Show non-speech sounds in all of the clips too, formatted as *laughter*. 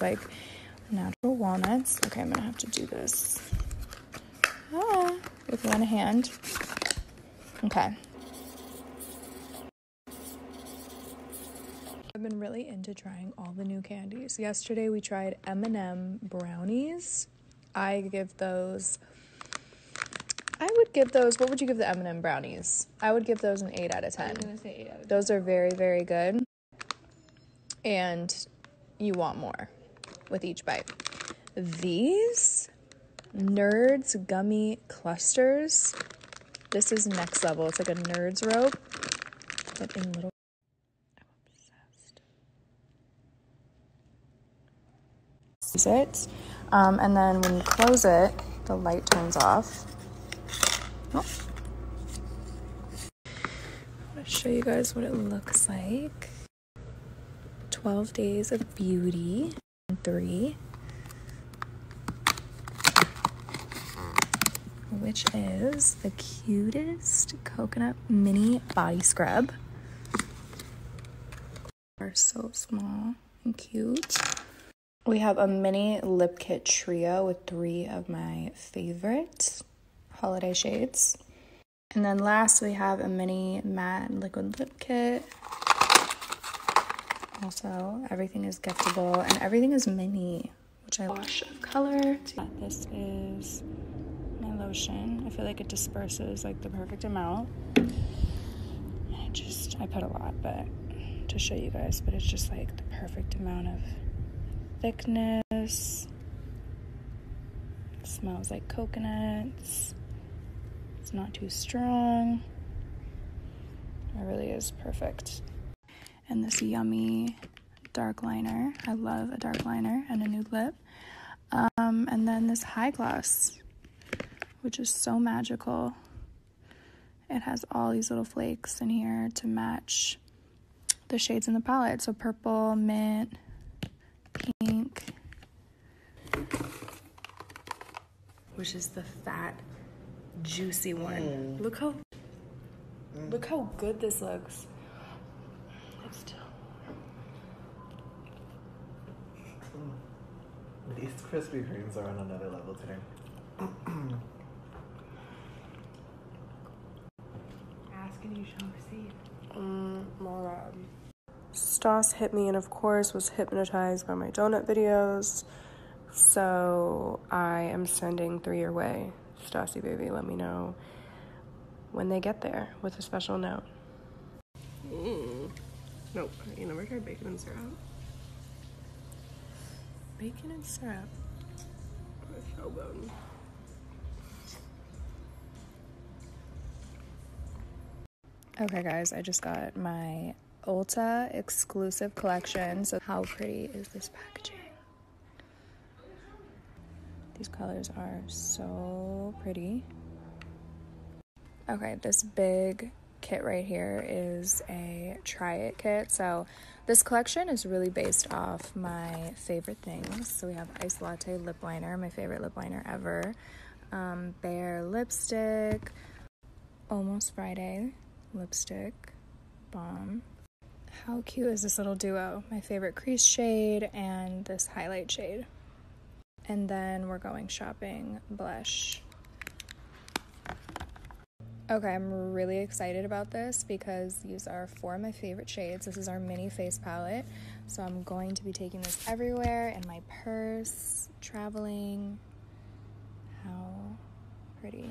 like natural walnuts. Okay, I'm gonna have to do this ah, with one hand. Okay. I've been really into trying all the new candies. Yesterday we tried M&M brownies. I give those I would give those. What would you give the M and m brownies? I would give those an eight out of ten. those are very very good, and you want more with each bite. These Nerds gummy clusters. This is next level. It's like a Nerds rope, but in little. I'm obsessed it. Um, and then when you close it, the light turns off. i want to show you guys what it looks like. 12 Days of Beauty, three, which is the cutest coconut mini body scrub are so small and cute. We have a mini lip kit trio with three of my favorite holiday shades. And then last we have a mini matte liquid lip kit. Also, everything is giftable and everything is mini, which I love. of color. This is my lotion. I feel like it disperses like the perfect amount. I just, I put a lot, but to show you guys, but it's just like the perfect amount of thickness. smells like coconuts. It's not too strong. It really is perfect. And this yummy dark liner. I love a dark liner and a nude lip. Um, and then this high gloss, which is so magical. It has all these little flakes in here to match the shades in the palette. So purple, mint, pink, which is the fat, juicy one. Mm. Look how mm. look how good this looks. Mm. These Krispy Kremes are on another level today. *clears throat* Asking you shall receive. Mm, Morad. Um, Stoss hit me and, of course, was hypnotized by my donut videos. So I am sending three your way. Stassi, baby, let me know when they get there with a special note. Mm. Nope, you never tried bacon and syrup. Bacon and syrup. Okay guys, I just got my Ulta exclusive collection. So how pretty is this packaging? These colors are so pretty. Okay, this big kit right here is a try it kit. So this collection is really based off my favorite things. So we have Ice Latte Lip Liner, my favorite lip liner ever. Um, Bare Lipstick, Almost Friday Lipstick, Bomb. How cute is this little duo? My favorite crease shade and this highlight shade. And then we're going shopping blush. Okay, I'm really excited about this because these are four of my favorite shades. This is our mini face palette. So I'm going to be taking this everywhere in my purse, traveling. How pretty.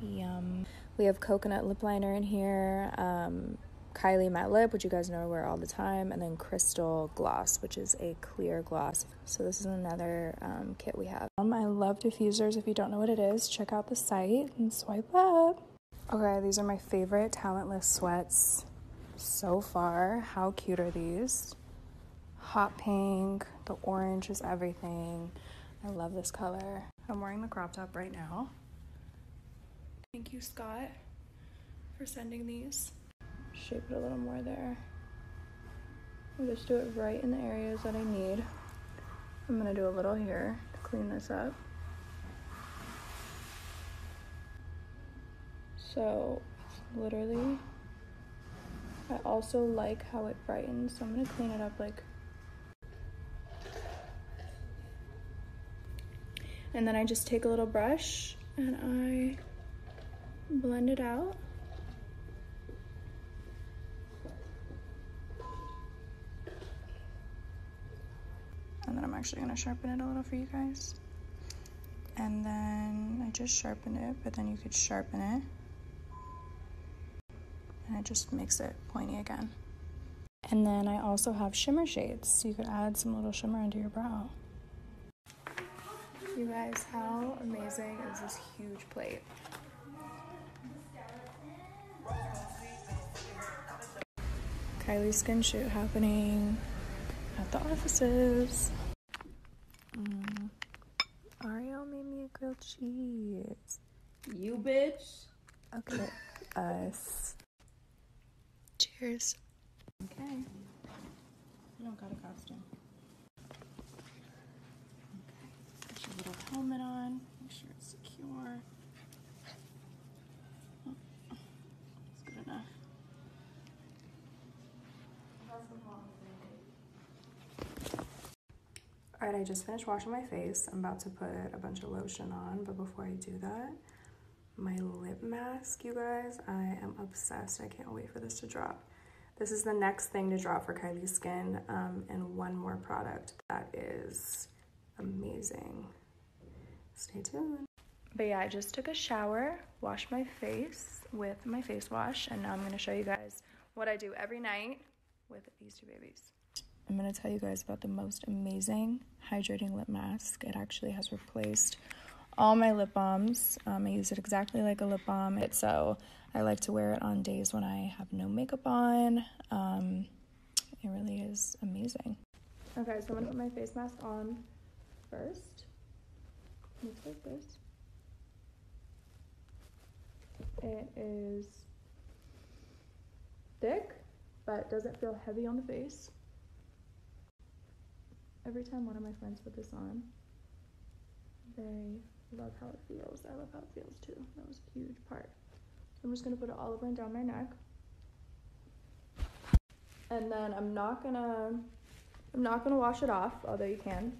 Yum. We have coconut lip liner in here, um, Kylie matte lip, which you guys know I wear all the time, and then crystal gloss, which is a clear gloss. So this is another um, kit we have. I love diffusers. If you don't know what it is, check out the site and swipe up. Okay, these are my favorite talentless sweats so far. How cute are these? Hot pink, the orange is everything. I love this color. I'm wearing the crop top right now. Thank you, Scott, for sending these shape it a little more there. just do it right in the areas that I need. I'm gonna do a little here to clean this up. So it's literally, I also like how it brightens, so I'm gonna clean it up like and then I just take a little brush and I blend it out. And then I'm actually gonna sharpen it a little for you guys. And then I just sharpened it, but then you could sharpen it. And it just makes it pointy again. And then I also have shimmer shades, so you could add some little shimmer under your brow. You guys, how amazing is this huge plate? Kylie skin shoot happening at the offices. Mm. Ariel made me a grilled cheese. You bitch. Okay, us. Cheers. Okay. You don't got a costume. Put your little helmet on. Make sure it's secure. Oh, that's good enough. Alright, I just finished washing my face. I'm about to put a bunch of lotion on, but before I do that, my lip mask, you guys, I am obsessed. I can't wait for this to drop. This is the next thing to draw for Kylie's Skin um, and one more product that is amazing. Stay tuned. But yeah, I just took a shower, washed my face with my face wash, and now I'm going to show you guys what I do every night with these two babies. I'm going to tell you guys about the most amazing hydrating lip mask. It actually has replaced all my lip balms. Um, I use it exactly like a lip balm. so I like to wear it on days when I have no makeup on. Um, it really is amazing. Okay, so I'm gonna put my face mask on first. Looks like this. It is thick, but it doesn't feel heavy on the face every time one of my friends put this on, they love how it feels. I love how it feels too. That was a huge part. I'm just gonna put it all over and down my neck. And then I'm not gonna I'm not gonna wash it off, although you can.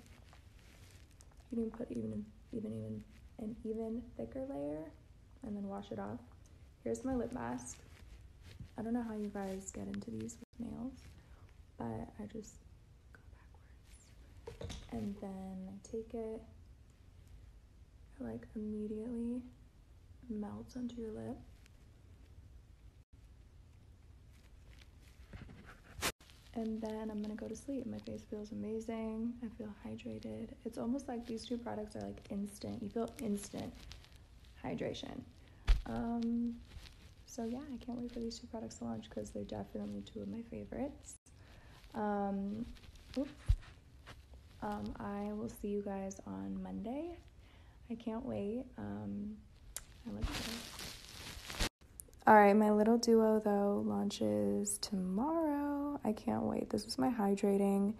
You can put even even even an even thicker layer and then wash it off. Here's my lip mask. I don't know how you guys get into these with nails but I just go backwards and then I take it it like immediately melts onto your lip and then I'm gonna go to sleep. My face feels amazing. I feel hydrated. It's almost like these two products are like instant. You feel instant hydration. Um, so yeah, I can't wait for these two products to launch because they're definitely two of my favorites. Um, um, I will see you guys on Monday. I can't wait. Um, All right, my little duo though launches tomorrow. I can't wait. This is my hydrating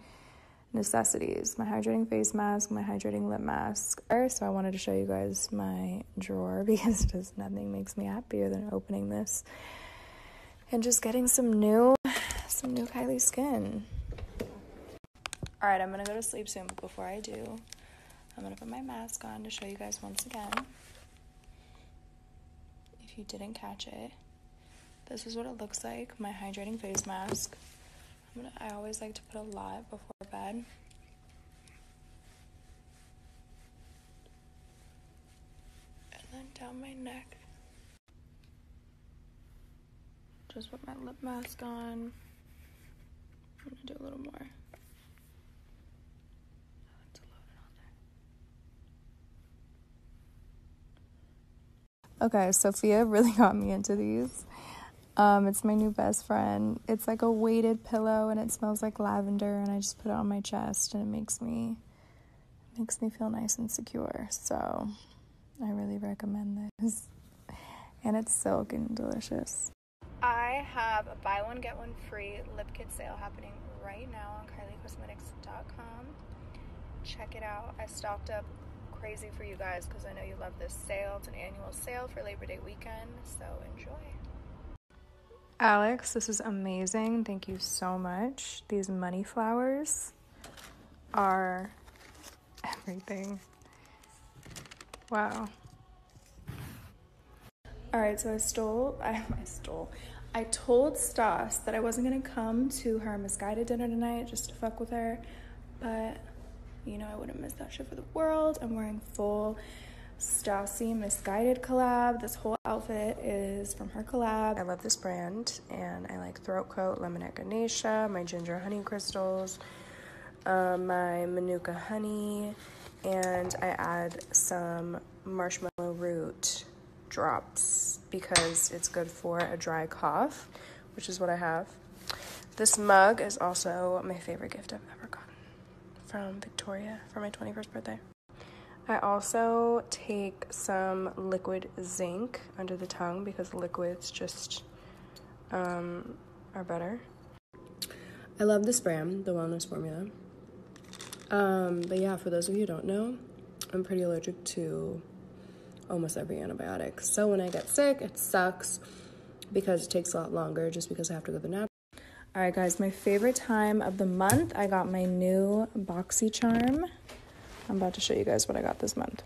necessities my hydrating face mask, my hydrating lip mask, so I wanted to show you guys my drawer *laughs* because just nothing makes me happier than opening this and just getting some new some new Kylie skin. All right, I'm gonna go to sleep soon, but before I do, I'm gonna put my mask on to show you guys once again. If you didn't catch it, this is what it looks like. My hydrating face mask. I always like to put a lot before bed and then down my neck. Just put my lip mask on. I'm gonna do a little more. Okay, Sophia *laughs* really got me into these. Um, it's my new best friend. It's like a weighted pillow and it smells like lavender and I just put it on my chest and it makes me makes me feel nice and secure. So I really recommend this. *laughs* And it's silk and delicious. I have a buy one get one free lip kit sale happening right now on kyliecosmetics.com. Check it out. I stocked up crazy for you guys because I know you love this sale. It's an annual sale for Labor Day weekend so enjoy. Alex, this is amazing. Thank you so much. These money flowers are everything. Wow. All right, so I stole, *laughs* I, I stole, I told Stas that I wasn't gonna come to her misguided dinner tonight just to fuck with her, but you know, I wouldn't miss that shit for the world. I'm wearing full Stassi Misguided collab. This whole outfit is from her collab. I love this brand and I like Throat Coat, Lemonette Ganesha, my Ginger Honey Crystals, uh, my Manuka Honey, and I add some Marshmallow Root drops because it's good for a dry cough, which is what I have. This mug is also my favorite gift I've ever gotten from Victoria for my 21st birthday. I also take some liquid zinc under the tongue because liquids just um, are better. I love this brand, the wellness formula. Um, but yeah, for those of you who don't know, I'm pretty allergic to almost every antibiotic. So when I get sick, it sucks because it takes a lot longer just because I have to go to the nap. All right, guys, my favorite time of the month. I got my new boxy charm. I'm about to show you guys what I got this month.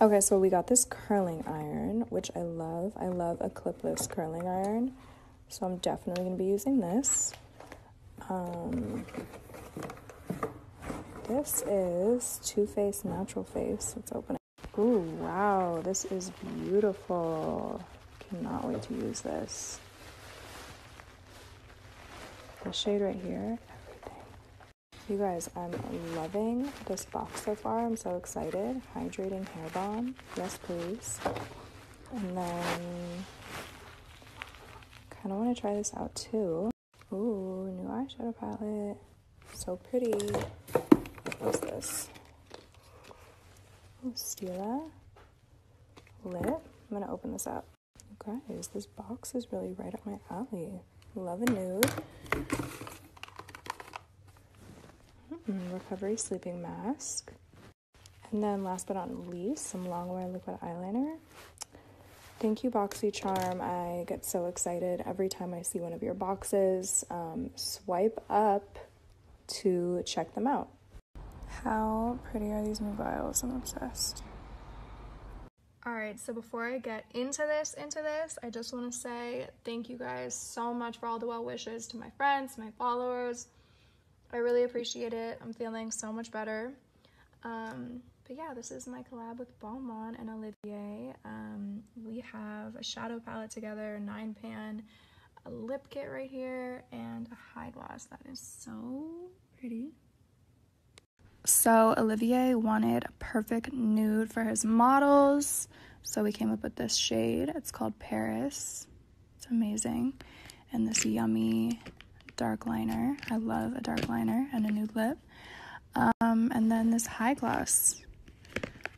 Okay, so we got this curling iron, which I love. I love a clipless curling iron. So I'm definitely going to be using this. Um, this is Too Faced Natural Face. Let's open it open Ooh, wow, this is beautiful. Cannot wait to use this. The shade right here, everything. You guys, I'm loving this box so far. I'm so excited. Hydrating hair balm. Yes, please. And then, kind of want to try this out too. Ooh, new eyeshadow palette. So pretty. What is this? Ooh, Stila. Lit. I'm gonna open this up. guys, this box is really right up my alley. Love a nude. recovery sleeping mask. And then last but not least, some longwear liquid eyeliner. Thank you, BoxyCharm. I get so excited every time I see one of your boxes. Um, swipe up to check them out. How pretty are these new vials? I'm obsessed. All right, so before I get into this, into this, I just want to say thank you guys so much for all the well wishes to my friends, my followers. I really appreciate it. I'm feeling so much better. Um, but yeah, this is my collab with Balmain and Olivier. Um, we have a shadow palette together, a nine pan, a lip kit right here and a high gloss that is so pretty so olivier wanted a perfect nude for his models so we came up with this shade it's called paris it's amazing and this yummy dark liner i love a dark liner and a nude lip um, and then this high gloss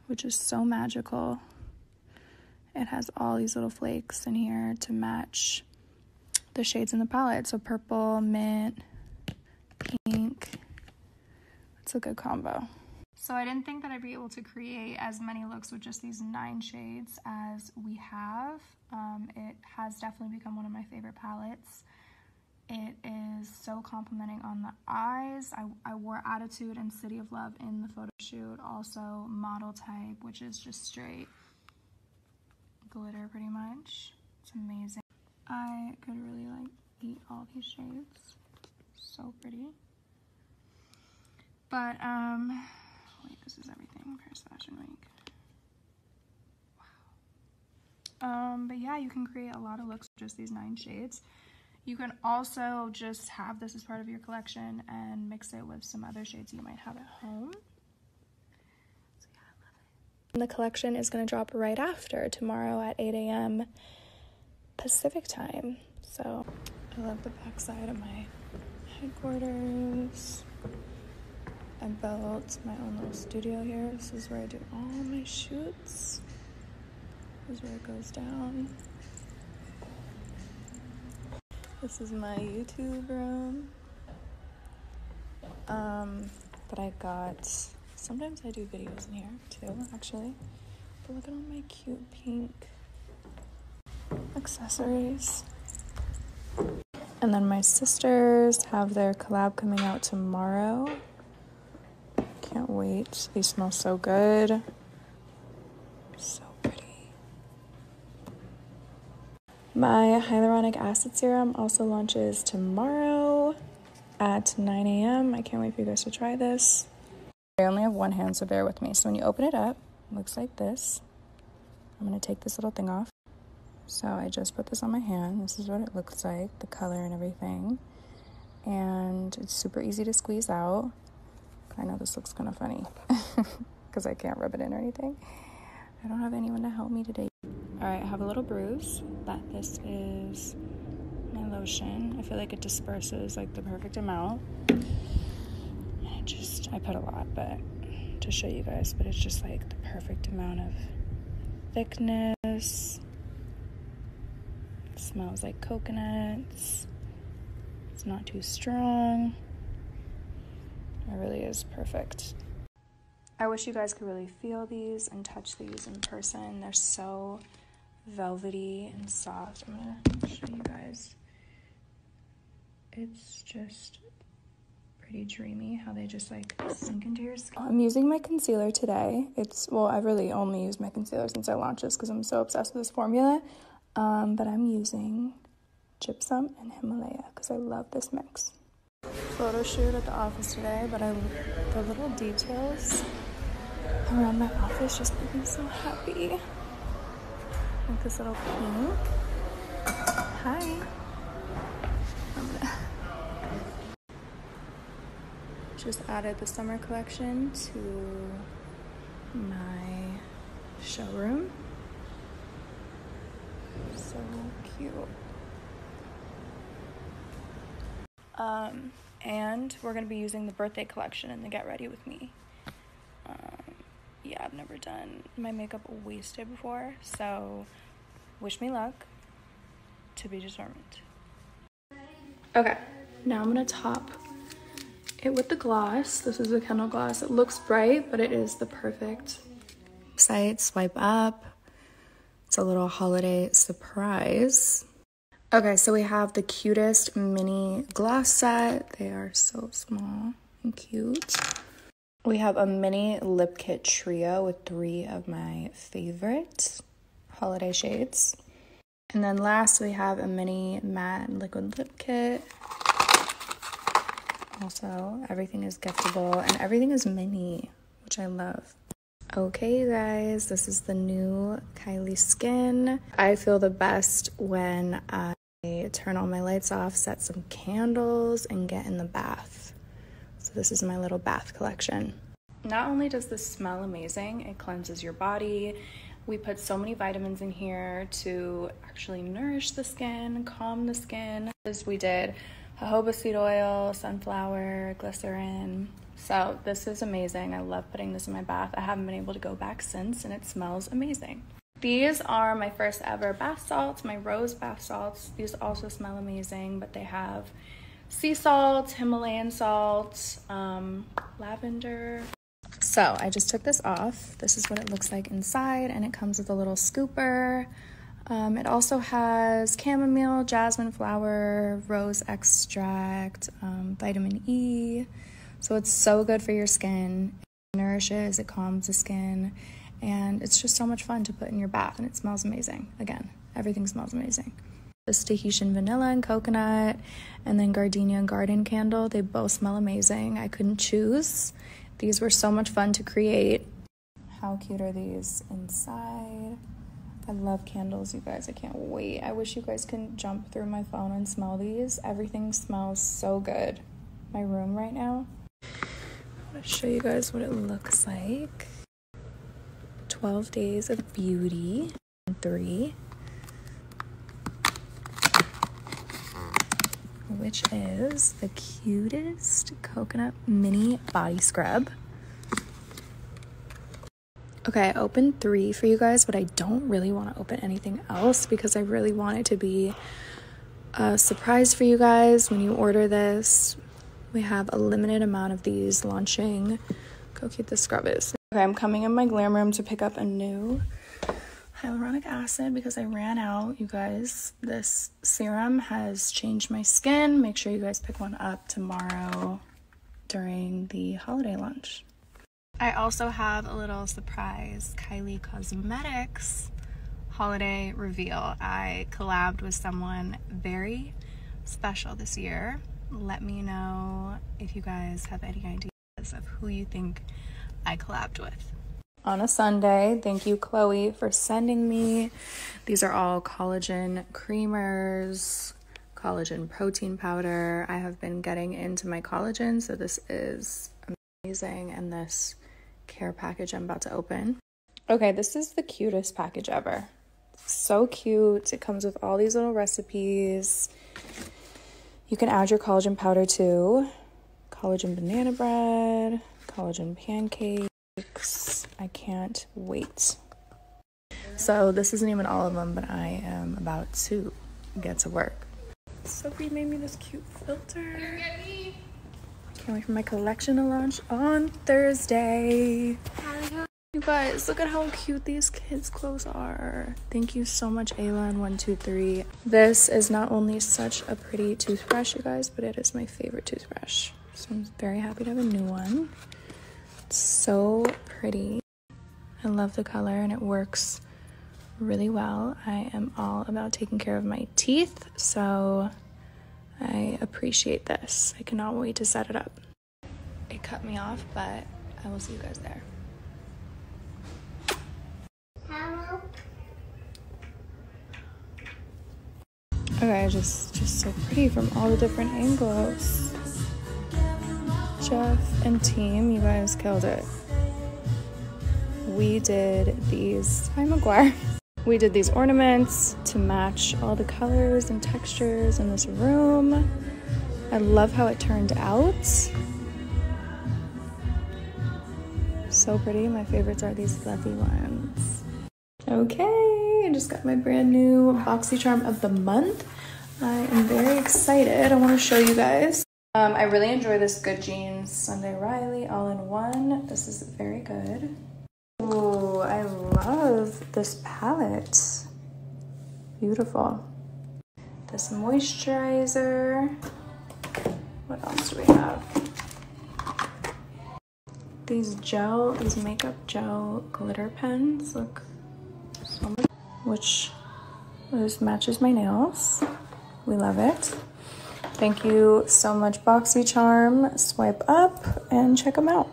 which is so magical it has all these little flakes in here to match the shades in the palette. So purple, mint, pink. It's a good combo. So I didn't think that I'd be able to create as many looks with just these nine shades as we have. Um, it has definitely become one of my favorite palettes. It is so complimenting on the eyes. I, I wore Attitude and City of Love in the photo shoot. Also, model type, which is just straight glitter pretty much. It's amazing. I could really like eat all these shades. So pretty. But, um, wait, this is everything. Paris Fashion Week. Wow. Um, but yeah, you can create a lot of looks just these nine shades. You can also just have this as part of your collection and mix it with some other shades you might have at home. the collection is going to drop right after tomorrow at 8 a.m. Pacific time. So I love the backside of my headquarters. I built my own little studio here. This is where I do all my shoots. This is where it goes down. This is my YouTube room. Um, but I got, sometimes I do videos in here too, actually. But look at all my cute pink accessories. And then my sisters have their collab coming out tomorrow. Can't wait. They smell so good. So pretty. My hyaluronic acid serum also launches tomorrow at 9 a.m. I can't wait for you guys to try this. I only have one hand, so bear with me. So when you open it up, looks like this. I'm gonna take this little thing off. So I just put this on my hand. This is what it looks like, the color and everything. And it's super easy to squeeze out. I know this looks kind of funny because *laughs* I can't rub it in or anything. I don't have anyone to help me today. All right, I have a little bruise, but this is my lotion. I feel like it disperses like the perfect amount. I just, I put a lot, but to show you guys, but it's just like the perfect amount of thickness. smells like coconut it's not too strong. It really is perfect. I wish you guys could really feel these and touch these in person. They're so velvety and soft. I'm gonna show you guys. It's just pretty dreamy how they just like sink into your skin. I'm using my concealer today. It's well, I really only use my concealer since I launched this because I'm so obsessed with this formula. Um, but I'm using gypsum and Himalaya because I love this mix. Photo shoot at the office today, but I the little details around my office just make me so happy. Like this little pink. Hi. Just added the summer collection to my showroom. So cute. Um, and we're going to be using the birthday collection and the Get Ready With Me. Um, yeah, I've never done my makeup wasted before, so wish me luck. To be determined. Okay, now I'm going to top it with the gloss. This is a Kendall gloss. It looks bright, but it is the perfect site. Swipe up. It's a little holiday surprise. Okay, so we have the cutest mini gloss set. They are so small and cute. We have a mini lip kit trio with three of my favorite holiday shades. And then last, we have a mini matte liquid lip kit. Also, everything is giftable and everything is mini, which I love. Okay, guys, this is the new Kylie Skin. I feel the best when I turn all my lights off, set some candles, and get in the bath. So, this is my little bath collection. Not only does this smell amazing, it cleanses your body we put so many vitamins in here to actually nourish the skin, calm the skin. As we did jojoba seed oil, sunflower, glycerin. So this is amazing. I love putting this in my bath. I haven't been able to go back since and it smells amazing. These are my first ever bath salts, my rose bath salts. These also smell amazing, but they have sea salt, Himalayan salts, um, lavender, so I just took this off. This is what it looks like inside and it comes with a little scooper. Um, it also has chamomile, jasmine flower, rose extract, um, vitamin E. So it's so good for your skin. It nourishes, it calms the skin, and it's just so much fun to put in your bath and it smells amazing. Again, everything smells amazing. This Tahitian vanilla and coconut, and then Gardenia and Garden Candle. They both smell amazing. I couldn't choose. These were so much fun to create. How cute are these inside? I love candles, you guys. I can't wait. I wish you guys can jump through my phone and smell these. Everything smells so good. My room right now. i want to show you guys what it looks like. 12 Days of Beauty, three which is the cutest coconut mini body scrub. Okay, I opened three for you guys, but I don't really want to open anything else because I really want it to be a surprise for you guys when you order this. We have a limited amount of these launching. Look how cute scrub is. Okay, I'm coming in my glam room to pick up a new hyaluronic acid because I ran out, you guys. This serum has changed my skin. Make sure you guys pick one up tomorrow during the holiday lunch. I also have a little surprise Kylie Cosmetics holiday reveal. I collabed with someone very special this year. Let me know if you guys have any ideas of who you think I collabed with. On a Sunday, thank you, Chloe, for sending me. These are all collagen creamers, collagen protein powder. I have been getting into my collagen, so this is amazing. And this care package I'm about to open. Okay, this is the cutest package ever. So cute. It comes with all these little recipes. You can add your collagen powder too collagen banana bread, collagen pancakes. I can't wait. So, this isn't even all of them, but I am about to get to work. Sophie made me this cute filter. Can't wait for my collection to launch on Thursday. You guys, look at how cute these kids' clothes are. Thank you so much, Ayla and 123. This is not only such a pretty toothbrush, you guys, but it is my favorite toothbrush. So I'm very happy to have a new one. so pretty. I love the color and it works really well. I am all about taking care of my teeth, so I appreciate this. I cannot wait to set it up. It cut me off, but I will see you guys there. Okay, just just so pretty from all the different angles. Jeff and team, you guys killed it. We did these. Hi, McGuire. *laughs* We did these ornaments to match all the colors and textures in this room. I love how it turned out. So pretty. My favorites are these fluffy ones. Okay, I just got my brand new boxy charm of the month. I am very excited. I want to show you guys. Um, I really enjoy this Good Jeans Sunday Riley all-in-one. This is very good. Ooh, I love this palette. Beautiful. This moisturizer. What else do we have? These gel, these makeup gel glitter pens. Look, which this matches my nails. We love it. Thank you so much, BoxyCharm. Swipe up and check them out.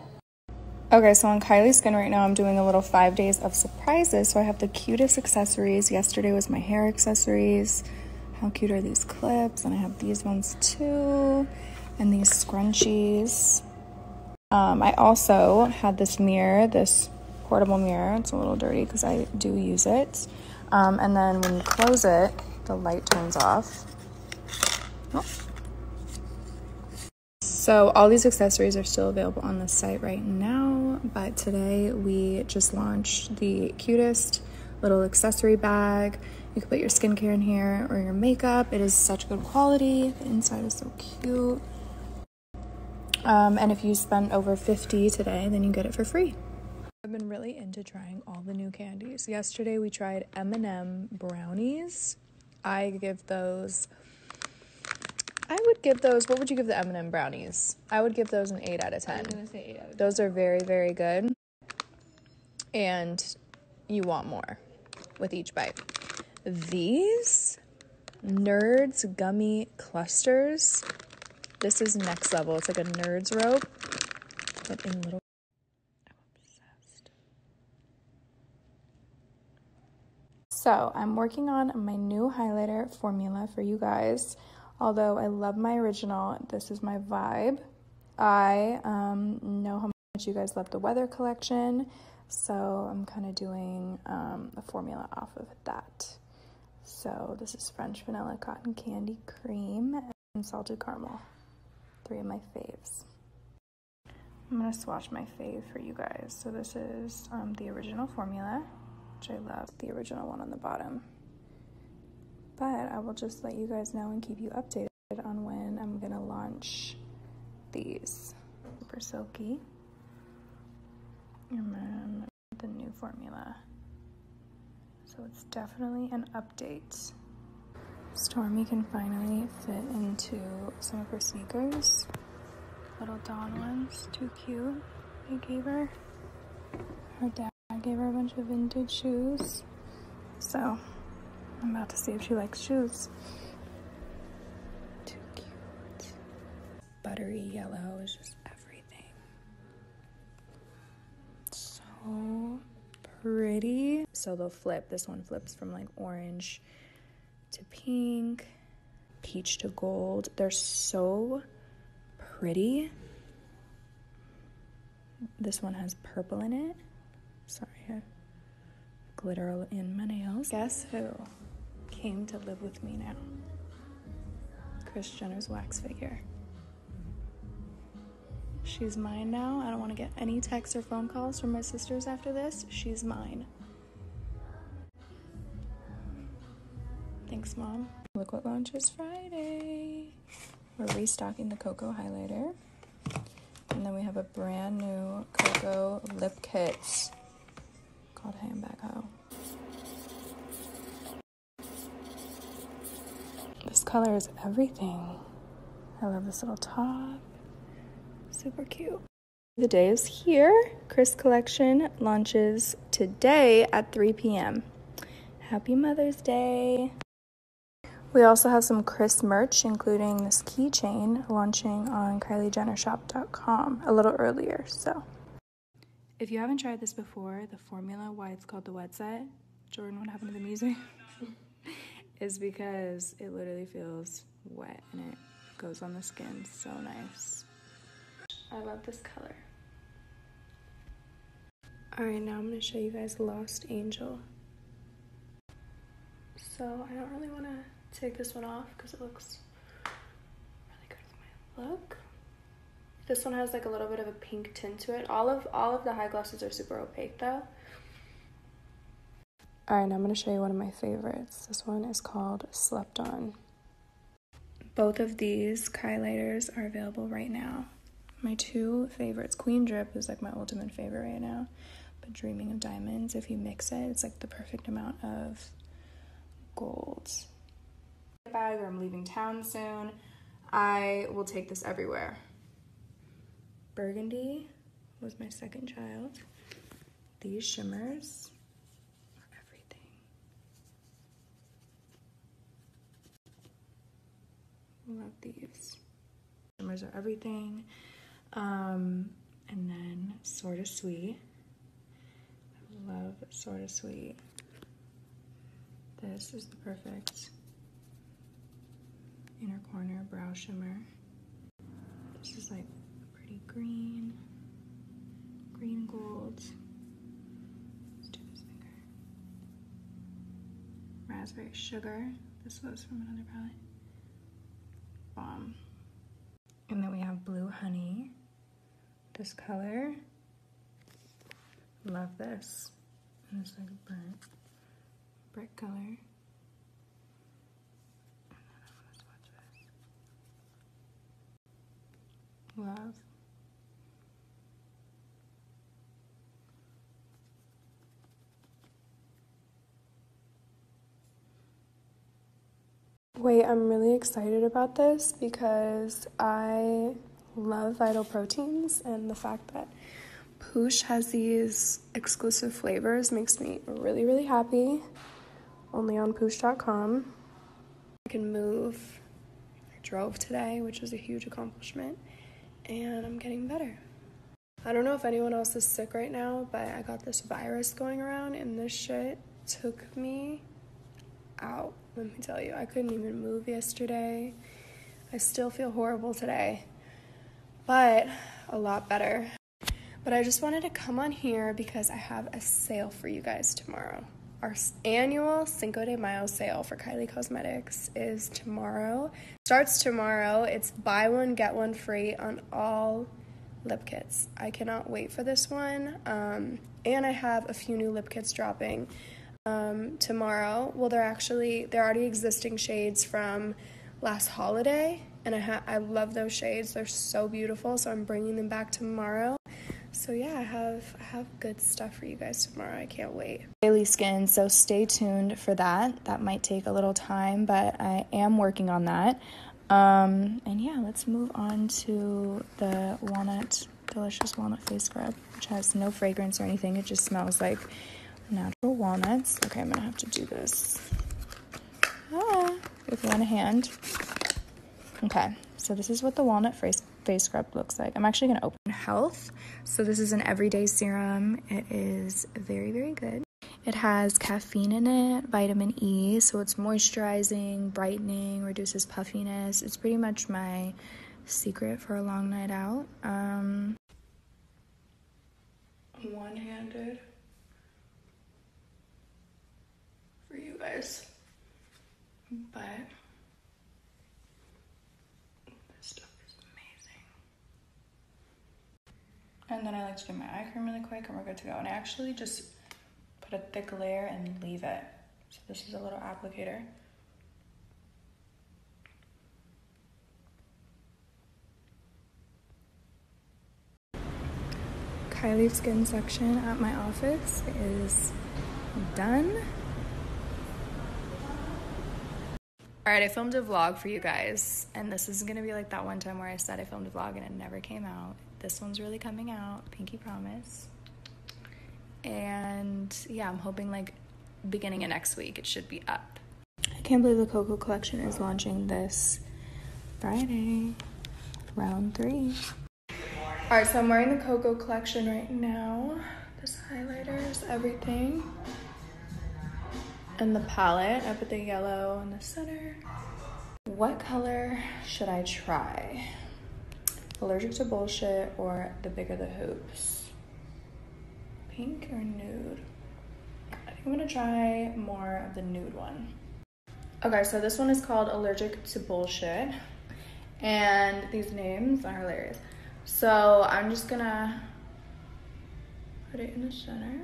Okay, so on Kylie's skin right now, I'm doing a little five days of surprises. So I have the cutest accessories. Yesterday was my hair accessories. How cute are these clips? And I have these ones too, and these scrunchies. Um, I also had this mirror, this portable mirror. It's a little dirty because I do use it. Um, and then when you close it, the light turns off. So all these accessories are still available on the site right now, but today we just launched the cutest little accessory bag. You can put your skincare in here or your makeup. It is such good quality. The inside is so cute. Um, and if you spend over 50 today, then you get it for free. I've been really into trying all the new candies. Yesterday we tried M&M brownies. I give those I would give those. What would you give the M&M brownies? I would give those an 8 out of 10. Those are very, very good. And you want more with each bite. These Nerds Gummy Clusters. This is next level. It's like a Nerds rope, So, I'm working on my new highlighter formula for you guys. Although I love my original, this is my vibe. I um, know how much you guys love the weather collection, so I'm kind of doing um, a formula off of that. So this is French Vanilla Cotton Candy Cream and Salted Caramel, three of my faves. I'm gonna swatch my fave for you guys. So this is um, the original formula, which I love, the original one on the bottom. But I will just let you guys know and keep you updated on when I'm gonna launch these. Super silky. the new formula. So it's definitely an update. Stormy can finally fit into some of her sneakers. Little Don ones, too cute. They gave her. Her dad. I gave her a bunch of vintage shoes. So I'm about to see if she likes shoes. Too cute. Buttery yellow is just everything. So pretty. So they'll flip. This one flips from like orange to pink, peach to gold. They're so pretty. This one has purple in it. Sorry, glitter in my nails. Guess who came to live with me now? Chris Jenner's wax figure. She's mine now. I don't want to get any texts or phone calls from my sisters after this. She's mine. Thanks, Mom. Look what launches Friday. We're restocking the Cocoa highlighter. And then we have a brand new Cocoa lip Kit called Handbag Ho. This color is everything. I love this little top. Super cute. The day is here. Chris Collection launches today at 3 p.m. Happy Mother's Day! We also have some Chris merch, including this keychain launching on KylieJennerShop.com a little earlier. So, if you haven't tried this before, the formula why it's called the wet set, Jordan, what happened to the music? *laughs* is because it literally feels wet and it goes on the skin so nice. I love this color. Alright, now I'm going to show you guys Lost Angel. So I don't really want to take this one off because it looks really good with my look. This one has like a little bit of a pink tint to it. All of all of the high glosses are super opaque though. Alright, now I'm going to show you one of my favorites. This one is called Slept On. Both of these highlighters are available right now. My two favorites, Queen Drip is like my ultimate favorite right now, but Dreaming of Diamonds, if you mix it, it's like the perfect amount of gold. Bag or I'm leaving town soon, I will take this everywhere. Burgundy was my second child. These shimmers are everything. Love these. Shimmers are everything. Um, and then Sorta Sweet. love Sorta Sweet. This is the perfect inner corner brow shimmer. This is like pretty green, green gold raspberry sugar. This was from another palette. Um, and then we have blue honey. This color. Love this. And like burnt brick color. Love Wait, I'm really excited about this because I love Vital Proteins, and the fact that Pooch has these exclusive flavors makes me really, really happy. Only on Pooch.com. I can move I drove today, which is a huge accomplishment, and I'm getting better. I don't know if anyone else is sick right now, but I got this virus going around, and this shit took me out. Let me tell you, I couldn't even move yesterday. I still feel horrible today, but a lot better. But I just wanted to come on here because I have a sale for you guys tomorrow. Our annual Cinco de Mayo sale for Kylie Cosmetics is tomorrow. Starts tomorrow. It's buy one, get one free on all lip kits. I cannot wait for this one. Um, and I have a few new lip kits dropping um, tomorrow. Well, they're actually they're already existing shades from last holiday, and I I love those shades. They're so beautiful. So I'm bringing them back tomorrow. So yeah, I have I have good stuff for you guys tomorrow. I can't wait. Daily skin, so stay tuned for that. That might take a little time, but I am working on that. Um, and yeah, let's move on to the walnut, delicious walnut face scrub, which has no fragrance or anything. It just smells like natural walnuts. Okay, I'm gonna have to do this. Ah, with one hand. Okay, so this is what the walnut face face scrub looks like. I'm actually going to open Health. So this is an everyday serum. It is very, very good. It has caffeine in it, vitamin E, so it's moisturizing, brightening, reduces puffiness. It's pretty much my secret for a long night out. Um, One-handed for you guys, but and then I like to do my eye cream really quick and we're good to go. And I actually just put a thick layer and leave it. So this is a little applicator. Kylie Skin section at my office is done. All right, I filmed a vlog for you guys, and this is gonna be like that one time where I said I filmed a vlog and it never came out. This one's really coming out, pinky promise. And yeah, I'm hoping like beginning of next week it should be up. I can't believe the Coco collection is launching this Friday, round three. All right, so I'm wearing the Coco collection right now. This highlighter is everything. And the palette, I put the yellow in the center. What color should I try? Allergic to Bullshit or The Bigger the Hoops? Pink or nude? I think I'm gonna try more of the nude one. Okay, so this one is called Allergic to Bullshit and these names are hilarious. So I'm just gonna put it in the center.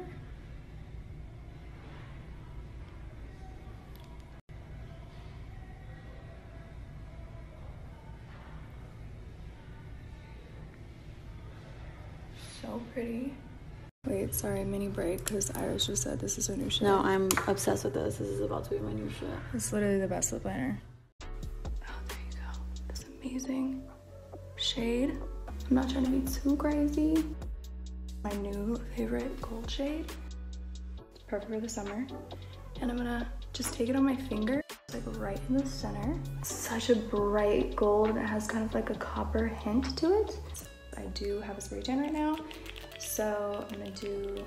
So pretty. Wait, sorry, mini break because Iris just said this is my new shit. No, I'm obsessed with this. This is about to be my new shit. It's literally the best lip liner. Oh, there This amazing shade. I'm not trying to be too crazy. My new favorite gold shade. It's perfect for the summer. And I'm gonna just take it on my finger, like right in the center. such a bright gold that has kind of like a copper hint to it. I do have a spray tan right now, so I'm gonna do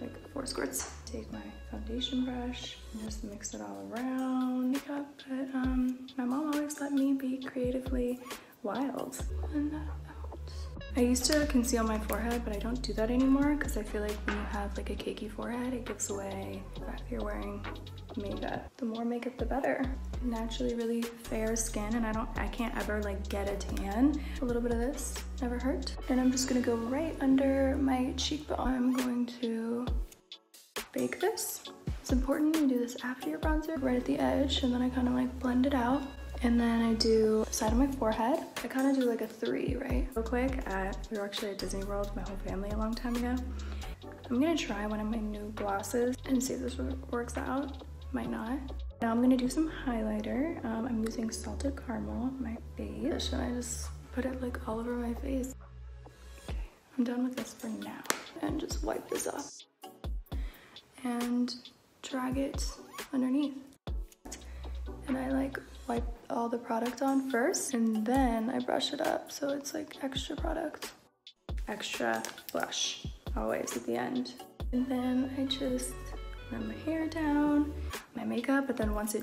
like four squirts. Take my foundation brush and just mix it all around um, my mom always let me be creatively wild. Uh, I used to conceal my forehead, but I don't do that anymore because I feel like when you have like a cakey forehead, it gives away the fact that you're wearing makeup. The more makeup, the better. Naturally really fair skin and I don't, I can't ever like get a tan. A little bit of this never hurt. And I'm just gonna go right under my cheek but I'm going to bake this. It's important you do this after your bronzer, right at the edge, and then I kind of like blend it out. And then I do the side of my forehead. I kind of do like a three, right? Real quick, we were actually at Disney World, my whole family, a long time ago. I'm gonna try one of my new glosses and see if this works out. Might not. Now I'm gonna do some highlighter. Um, I'm using Salted Caramel on my Should I just Put it like all over my face. Okay, I'm done with this for now. And just wipe this off and drag it underneath. And I like wipe all the product on first and then I brush it up so it's like extra product. Extra blush, always at the end. And then I just let my hair down, my makeup, but then once it